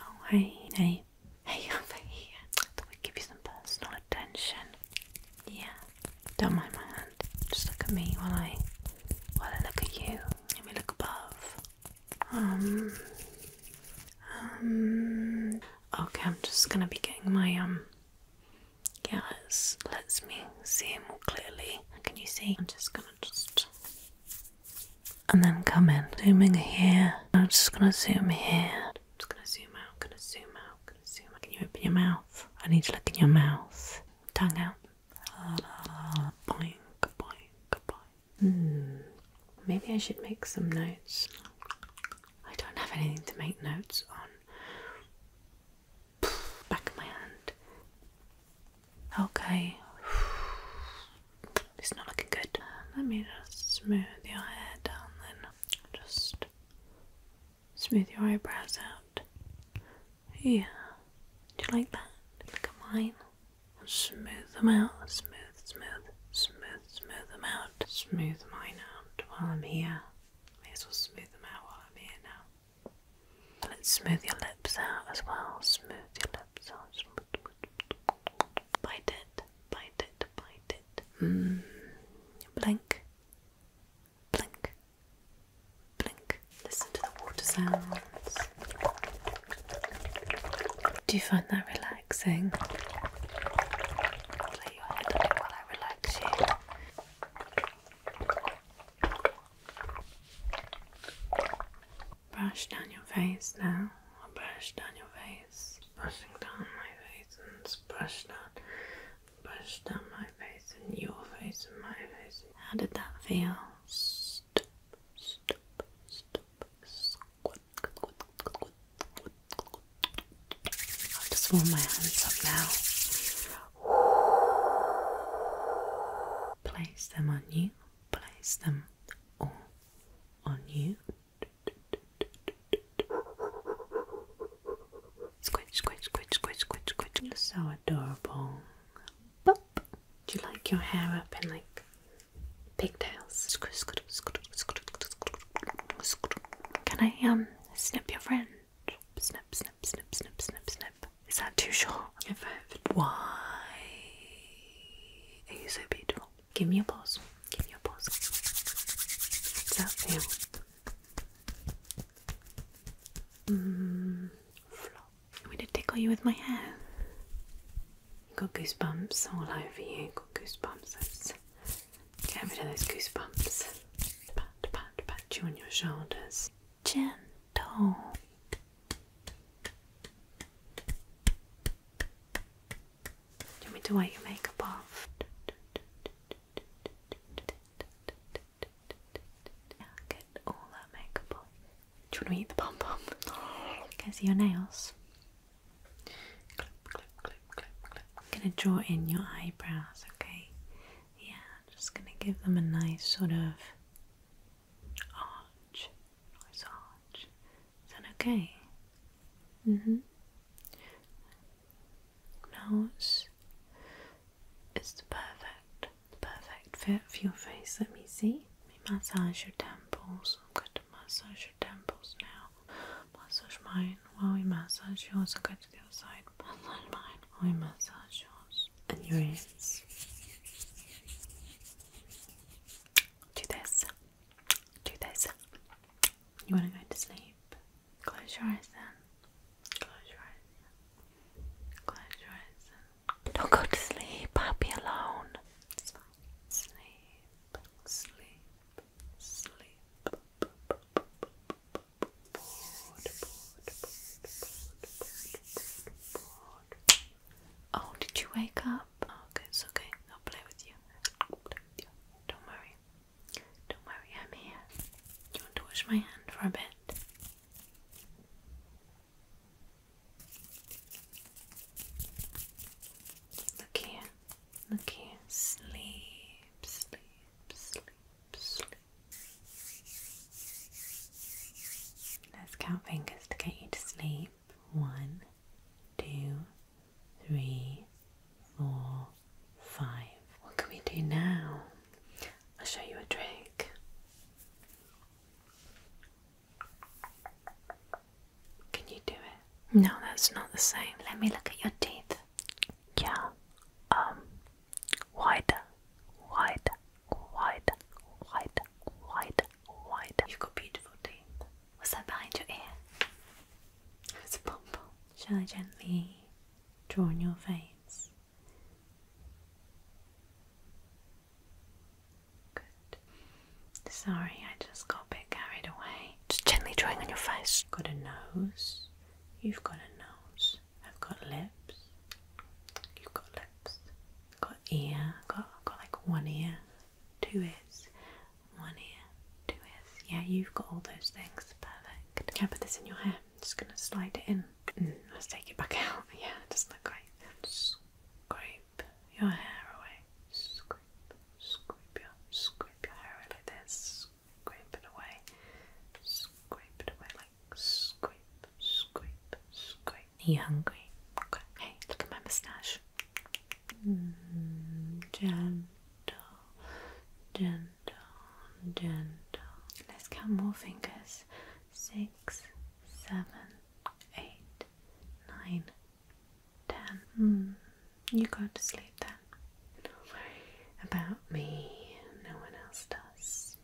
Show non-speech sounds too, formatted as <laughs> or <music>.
Oh, hey, hey, hey <laughs> over here. I thought give you some personal attention. Yeah, don't mind my hand. Just look at me while I, while I look at you. Let me look above. Um, um. Okay, I'm just gonna be getting my um. Yeah, let's, let's me see it more clearly. Can you see? I'm just gonna just and then come in. Zooming here. I'm just gonna zoom here. I'm just gonna zoom out, gonna zoom out, gonna zoom out. Can you open your mouth? I need to look in your mouth. Tongue out. La, la, la. Boink, boink, boink. Hmm. Maybe I should make some notes. I don't have anything to make notes on. Back of my hand. Okay. <sighs> It's not looking good. Let me just smooth your hair down then. Just smooth your eyebrows out. Yeah. Do you like that? Look at mine. Smooth them out. Smooth, smooth, smooth, smooth them out. Smooth mine out while I'm here. May as well smooth them out while I'm here now. Let's smooth your lips out as well. Smooth your lips out. Bite it, bite it, bite it. Mm. Blink, blink, blink. Listen to the water sounds. Do you find that relaxing? Lay your head up while I relax you. Brush down your face now. I'll brush down your face. Brushing down my face and brush down, brush down my face and your face and my face. How did that feel? Stop, stop, stop. Squat, squat, squat, squat, squat, squat, I'll just warm my hands up now. Place them on you, place them all on you. Squish, squish, squish, squish, squish, squish. are so adorable. Bop. Do you like your hair up in like pigtails? Can I um snip your friend? Snip, snip, snip, snip, snip, snip. Is that too short? Why are you so beautiful? Give me a pause. Give me a pause. What's that feel? Mmm. Flop. I'm going to tickle you with my hair. You Got goosebumps all over you. Got goosebumps. Get rid of those goosebumps. Pat, pat, pat you on your shoulders. Gentle. Do you want me to wipe your makeup off? Yeah, get all that makeup off. Do you want to eat the pom pom? Can see your nails? I'm gonna draw in your eyebrows, okay? Yeah, just gonna give them a nice sort of arch. Nice arch. Is that okay? Mm-hmm. Nose is the perfect, perfect fit for your face. Let me see. Let me massage your temples. I'm going to massage your temples now. Massage mine while we massage you. Also, will to the other side. Massage mine while we massage yours. And your ears. Do this. Do this. You want to go to sleep? Close your eyes then. Close your eyes. Close your eyes Don't go to sleep. I'll be alone. It's Sleep sleep, sleep. Oh, did you wake up? Oh, okay, it's okay. I'll play with you. play with you. Don't worry. Don't worry, I'm here. you want to wash my hand for a bit? Look here, look Sleep, sleep, sleep, sleep. Let's count fingers to get you to sleep. One, two, three, four, five. What can we do now? I'll show you a trick. Can you do it? No, that's not the same. Let me look at your teeth. Yeah. Um wider, wider, wider, wider, wider, wider. You've got beautiful teeth. What's that behind your ear? It's a pom Shall I gently draw on your face? Good. Sorry, I just got a bit carried away. Just gently drawing on your face. Got a nose. You've got a nose. I've got lips. You've got lips. Got ear. Got got like one ear, two ears, one ear, two ears. Yeah, you've got all those things. Perfect. Can I put this in your hair? just gonna slide it in. Mm, let's take it back out. Yeah, doesn't look great. Scrape your hair away. Scrape, scrape your, scrape your hair away like Scrape it away. Scrape it away like scrape, scrape, scrape. Are you hungry? Okay. Hey, look at my moustache. Mm, gentle, gentle gentle, gentle. Let's count more fingers. Six, seven, eight, nine, ten. Hmm, you go to sleep then. Don't worry about me. No one else does.